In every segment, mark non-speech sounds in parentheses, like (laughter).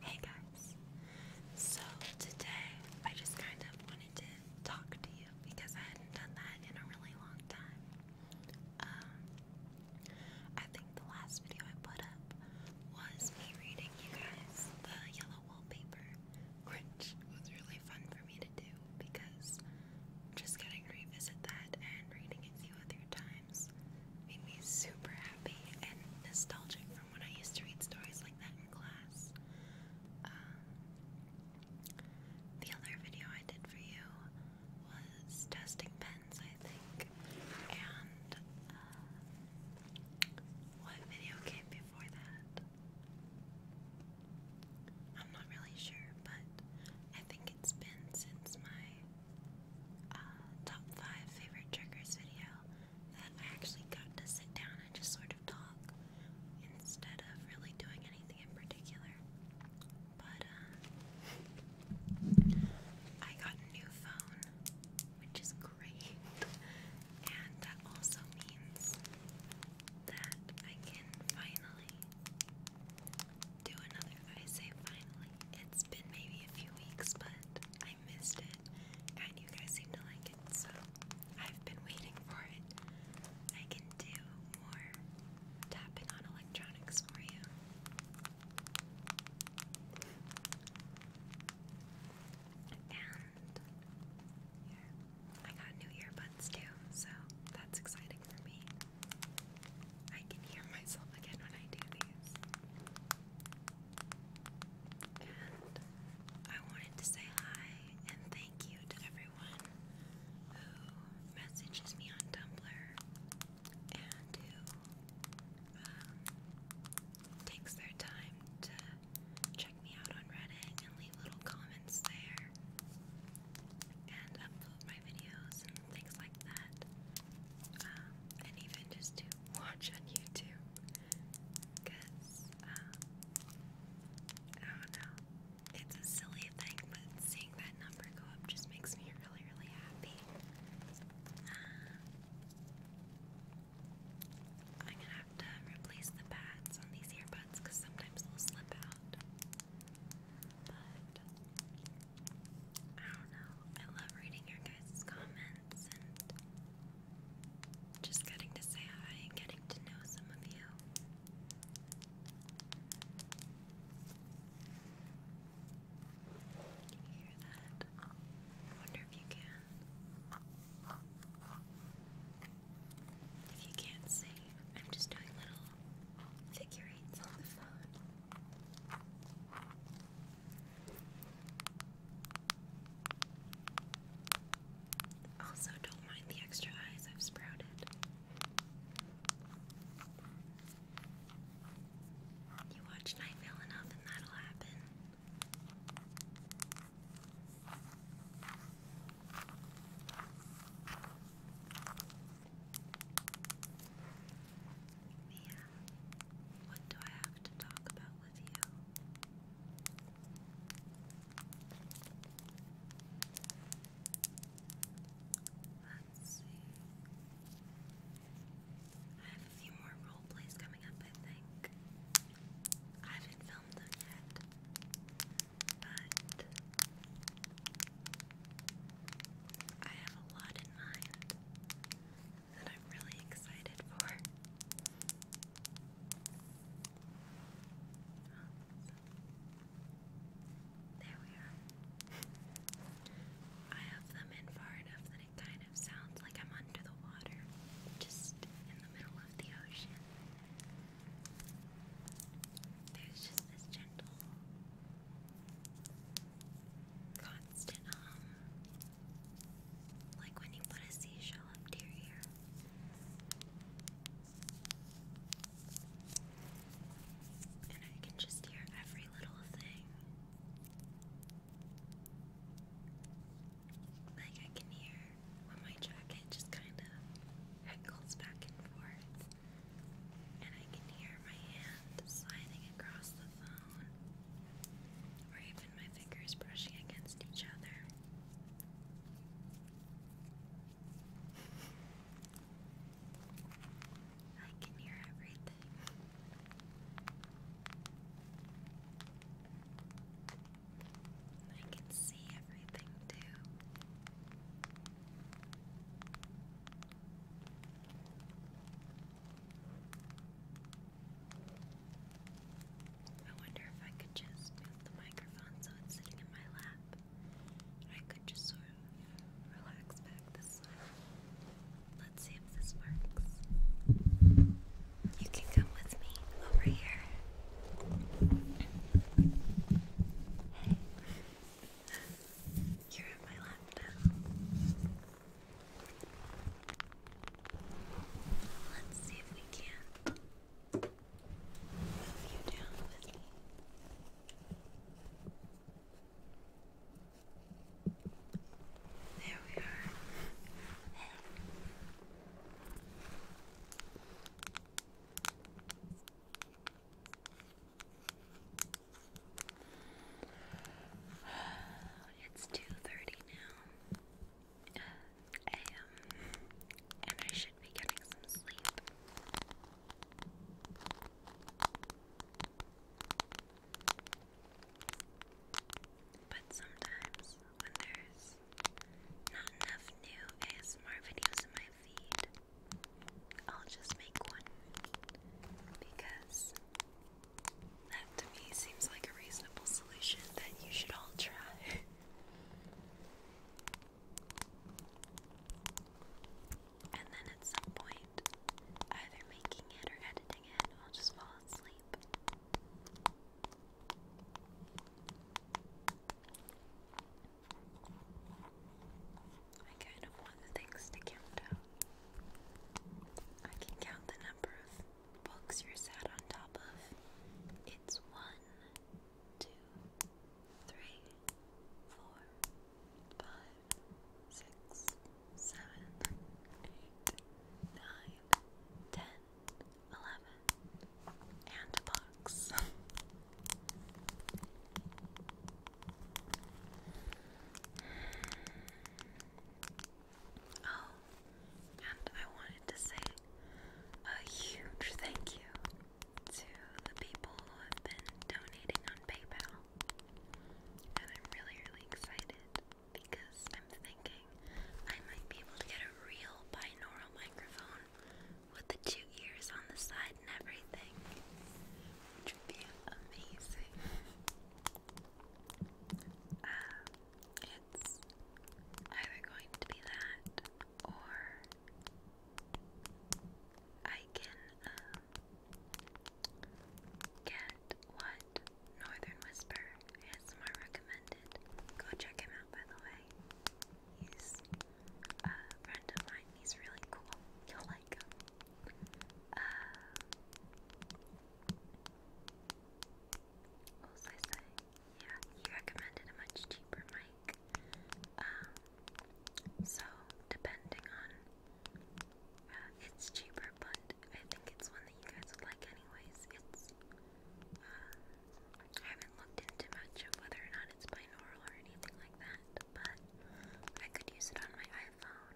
Hey guys, so today I just kind of wanted to talk to you because I hadn't done that in a really long time. Um, I think the last video I put up was me reading you guys the yellow wallpaper, which was really fun for me to do because just getting to revisit that and reading it a few other times made me super happy and nostalgic from when I used to read stories like that in class. Um, the other video I did for you was testing pens, I think, and um, what video came before that? I'm not really sure, but I think it's been since my uh, top five favorite triggers video that I actually got to sit down and just sort of talk instead of really doing anything in particular. But uh, I got a new phone, which is great, (laughs) and that also means that I can finally do another. I say finally. It's been maybe a few weeks, but I missed it, and you guys seem to like it, so I've been waiting for it. I can do more tapping on electronics for you. And yeah, I got new earbuds too, so that's exciting for me. I can hear myself again when I do these. And I wanted to say hi and thank you to everyone who messages me on Tumblr and who um, takes their time to check me out on Reddit and leave little comments there and upload my videos things like that, um, and even just to watch on YouTube. Cause um, I don't know, it's a silly thing, but seeing that number go up just makes me really, really happy. Um, I'm gonna have to replace the pads on these earbuds because sometimes they'll slip out. But I don't know. I love reading your guys' comments and just getting to say hi and getting to know some of you. Can you hear that? I wonder if you can. If you can't see, I'm just doing little figure on the phone. Also, don't mind the extra eyes I've sprouted. You watch Nightvale enough, and that'll happen. We what do I have to talk about with you? Let's see. I have a few more role plays coming up, I think. I haven't filmed them yet, but I have a lot in mind that I'm really excited for. there we are. I have them in far enough that it kind of sounds like I'm under the water, just in the middle of the ocean. There's just this gentle constant, um, like when you put a seashell up to And I can just hear every little thing. Like, I can hear when my jacket just kind of wrinkles back and forth. And I can hear my hand sliding across the phone or even my fingers brushing against each other. I can hear everything. I can see everything too. I wonder if I could just move the microphone so it's sitting in my lap. I could just sort of relax back this way. Let's see if this works. You can come with me over here. Hey. You're in my lap now. Let's see if we can move you down with me. There we are. Hey. It's 2.30 now a.m. and I should be getting some sleep. But sometimes when there's not enough new ASMR videos in my feed, I'll just make one because that to me seems like a reasonable solution that you should all try. and then at some point, either making it or editing it, I'll just fall asleep. I kind of fun things to count out. I can count the number of books you're sat on top of. It's one, two, three, four, five, six, seven, eight, nine, ten, eleven, and a box. (laughs) (sighs) Oh, and I wanted to say a huge thank you to the people who have been donating on PayPal. And I'm really, really excited because I'm thinking I might be able to get a real binaural microphone with the two ears on the side and everything, which would be amazing. (laughs) Um, it's either going to be that or I can um, get what Northern Whisper is more recommended. Go check him out, by the way. He's a friend of mine. He's really cool. You'll like him. Uh, what was I saying? Yeah, he recommended a much cheaper mic. Um, so depending on, uh, it's cheaper, but I think it's one that you guys would like anyways. It's, uh, I haven't looked into much of whether or not it's binaural or anything like that, but I could use it on my iPhone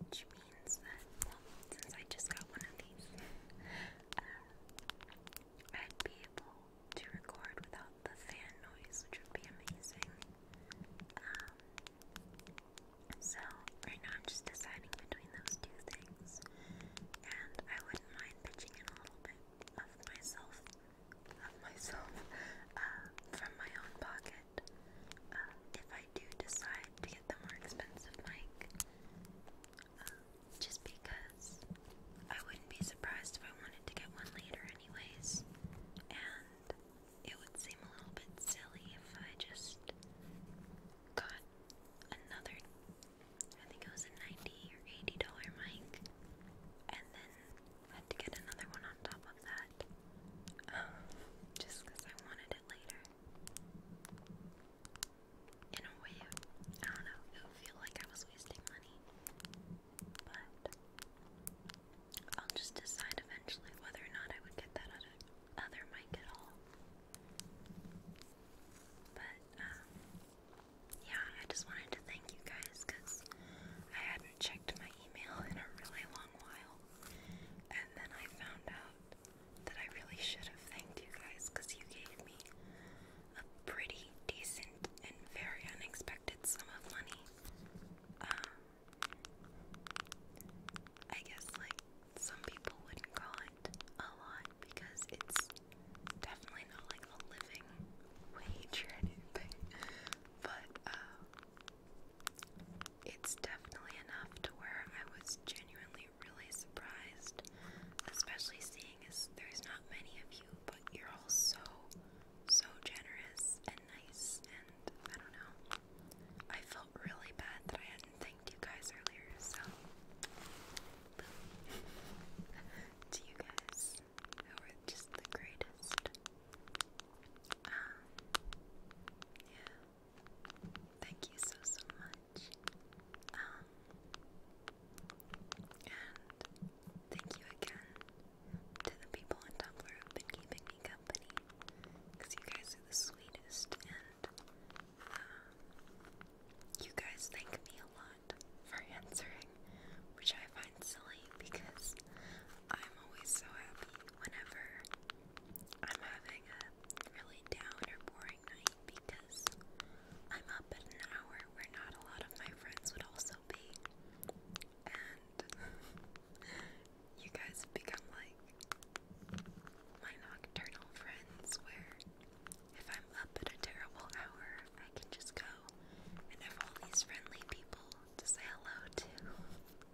which means that, since I just got one of these, uh, I'd be able to record without the fan noise, which would be amazing. Um, so, right now I'm just deciding between those two things, and I wouldn't mind pitching in a little bit of myself, of myself, uh, from my own pocket um, if I do decide to get the more expensive mic, um, just because I wouldn't be surprised if I wanted to get one later, anyways, and it would seem a little bit silly if I just got another. I think it was a ninety or eighty dollar mic, and then had to get another one on top of that. Um, just because I wanted it later. In a way, I don't know, it would like I was wasting money. But I'll just decide eventually whether or not I would get that other, other mic at all. But, um, yeah, I just wanted to thank you guys because I had have checked my email in a really long while. And then I found out that I really should have thanked you guys because you gave me a pretty decent and very unexpected sum of money. Um, I guess, like, some people wouldn't call it a lot because it's definitely not like a living wage or anything. (laughs) But, uh, it's definitely enough to where I was genuinely really surprised, especially seeing as there's not many of you, but you're all so, so generous and nice, and I don't know. I felt really bad that I hadn't thanked you guys earlier, so. (laughs) to you guys, who are just the greatest yeah. Thank you so so much. Um, and thank you again to the people on Tumblr who've been keeping me company. you guys are the sweetest, and um, you guys thank me a lot for (laughs) answering, which I find silly because I'm always so happy whenever I'm having a really down or boring night because I'm up at an hour where not a lot of my friends would also be. And (laughs) you guys have become like my nocturnal friends where if I'm up at a terrible hour, I can just go and have all these friendly people to say hello to. I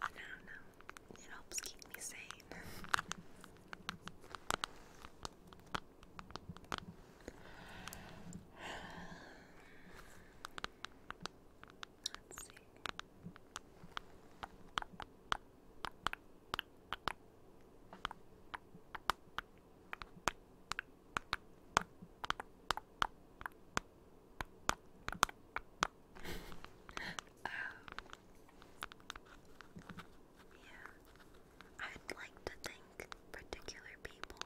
don't know. It helps keep me sane. Let's see um, yeah, I'd like to thank particular people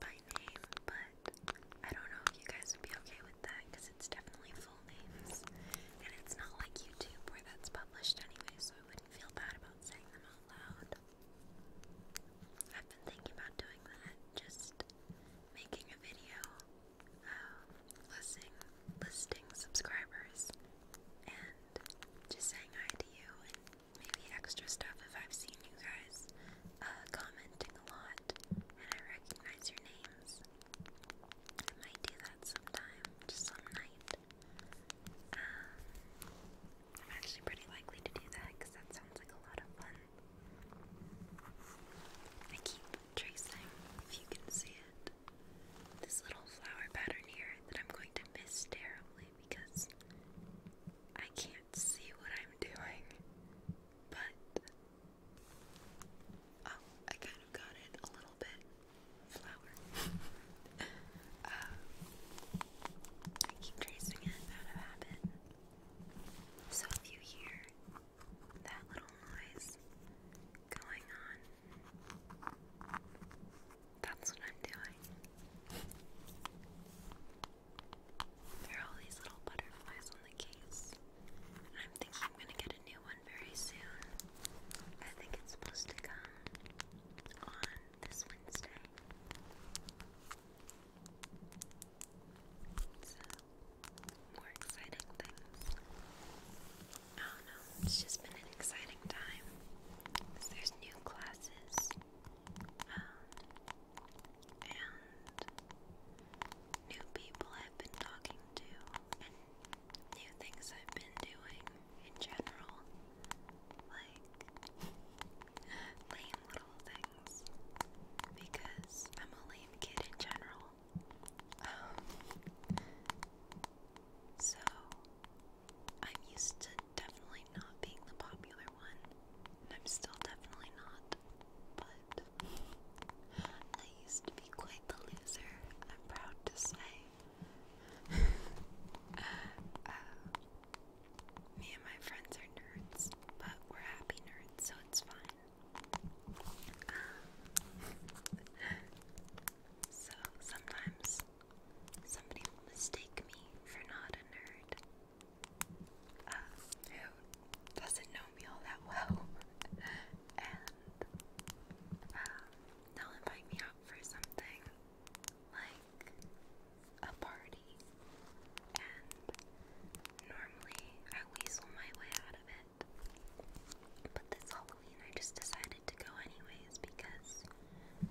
by name, but I don't know if you guys would be okay with that because it's definitely full names, and it's not like YouTube where that's published anyway, so I wouldn't feel bad about saying them out loud. I've been thinking about doing that just making a video listing, listing subscribers and just saying hi to you and maybe extra stuff if I've seen you guys uh, commenting a lot and I recognize your names. I might do that sometime, some night. Um, I'm actually pretty likely to do that because that sounds like a lot of fun. I keep tracing, if you can see it, this little flower pattern here that I'm going to miss terribly because I can't see what I'm doing. But, oh, I kind of got it a little bit. Flower. (laughs) Uh, I keep tracing it out of habit. So if you hear that little noise going on, that's what I'm doing. There are all these little butterflies on the case. And I'm thinking I'm gonna get a new one very soon. I think it's supposed to come on this Wednesday. So, more exciting things. I oh, don't know, it's just been an exciting time. There's new classes, um, and new people I've been talking to, and new things I've been doing in general. Like, (laughs) lame little things because I'm a lame kid in general. Um, so I'm used to definitely not being the popular one, I'm still definitely not, but I used to be quite the loser, I'm proud to say. (laughs) Uh, me and my friends are nerds, but we're happy nerds, so it's fine. Um, so sometimes somebody will mistake me for not a nerd uh, who doesn't know me all that well, (laughs) and um, they'll invite me out for something like a party normally I weasel my way out of it. But this Halloween I just decided to go anyways because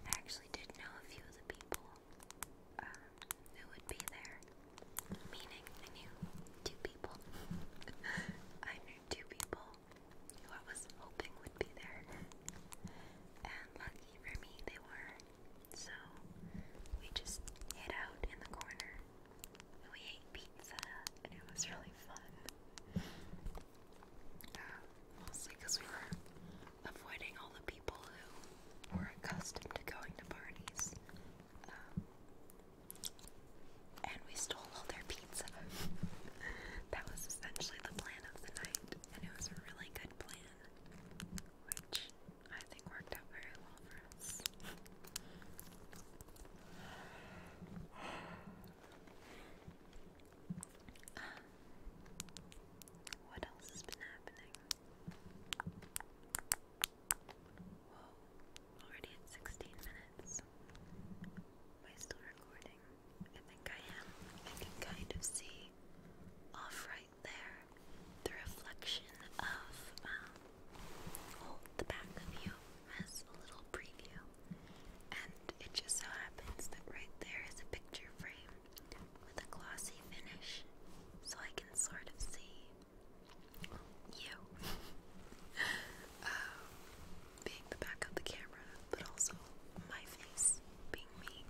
I actually did know a few of the people um, who would be there. Meaning I knew two people. (laughs) I knew two people who I was hoping would be there. And lucky for me they were. So we just hid out in the corner and we ate pizza and it was really fun. mostly because we were avoiding all the people who were accustomed to going to parties. Um, and we stole all their pizza. (laughs) that was essentially the plan of the night, and it was a really good plan, which I think worked out very well for us. Um, what else has been happening? Whoa, already at 16 minutes. Am I still recording? I think I am. I can kind of see off there, the reflection of um, oh, the back of you as a little preview, and it just so happens that right there is a picture frame with a glossy finish, so I can sort of see you (laughs) um, being the back of the camera, but also my face being me.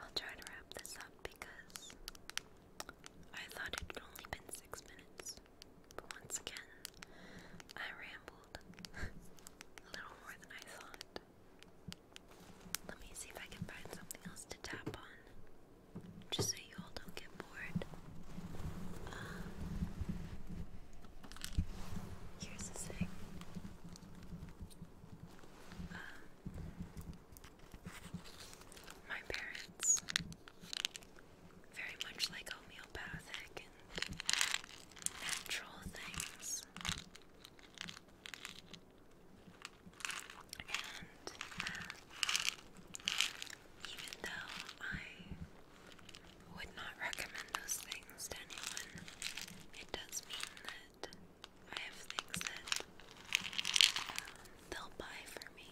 I'll try to wrap this up because I thought it had only been six minutes. But once again, I rambled (laughs) a little more than I thought. Let me see if I can find something else to tap on, just so you all don't get bored. Um, Here's the thing. Um, my parents, very much like homeopathic and natural things, and uh, even though I would not recommend those things to anyone. It does mean that I have things that um, they'll buy for me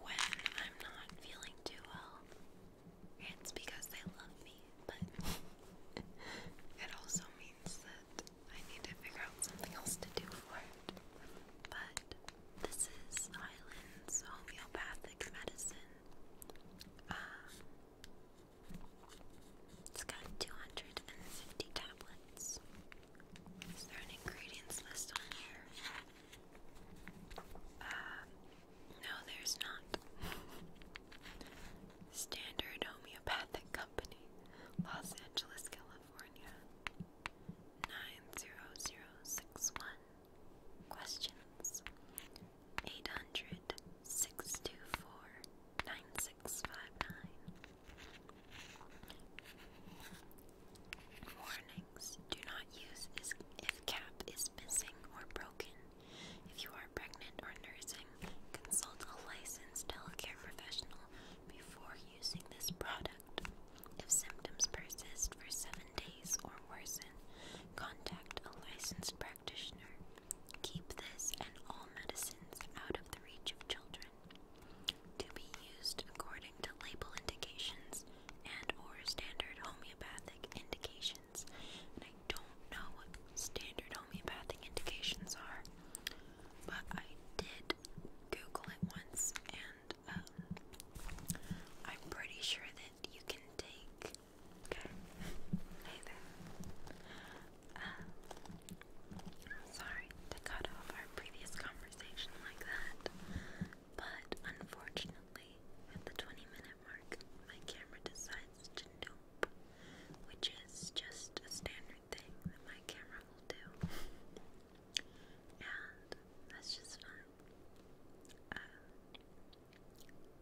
when I'm not feeling too well. It's because they love me, but (laughs) it also means that I need to figure out something else to do for it. But this is Highlands Homeopathic Medicine. Um, it's got 250 tablets. Is there an ingredients list on here? Uh, no, there's not. (laughs) Standard Homeopathic Company, Los Angeles, California. 90061. Questions 800 Warnings Do not use if cap is missing or broken. If you are pregnant or nursing, consult a licensed healthcare professional before using this product. If symptoms persist for seven days or or worsen, contact a licensed practitioner. Keep this and all medicines out of the reach of children. To be used according to label indications and or standard homeopathic indications. I don't know what standard homeopathic indications are, but I did Google it once and um, I'm pretty sure that you can take Okay. Hey there. sorry to cut off our previous conversation like that, but unfortunately, at the 20 minute mark, my camera decides to nope, which is just a standard thing that my camera will do. And that's just fun. Um,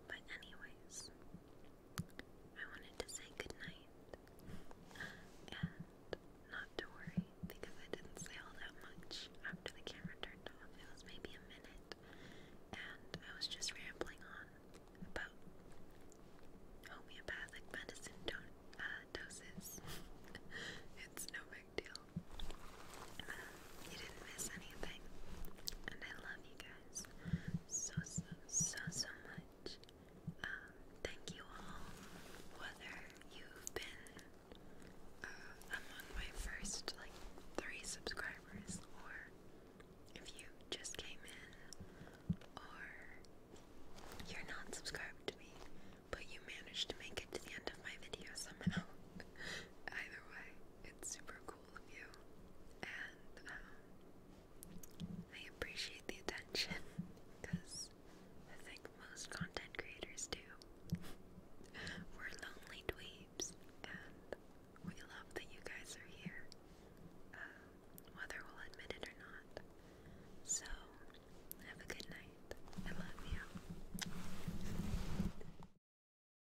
but anyways, I wanted to say goodnight and not to worry because I didn't say all that much after the camera turned off. It was maybe a minute and I was just rambling on about homeopathic medicine uh, doses. (laughs) it's no big deal. Um, you didn't miss anything. And I love you guys so, so, so, so much. Um, thank you all, whether you've been uh, among my first like three subscribers, or if you just came in, or you're not subscribed to me, but you managed to make it to the end of my video somehow. (laughs) Either way, it's super cool of you, and um, I appreciate the attention because I think most content creators do. We're lonely dweebs, and we love that you guys are here, um, whether we'll admit it or not. So, have a good night. I love you.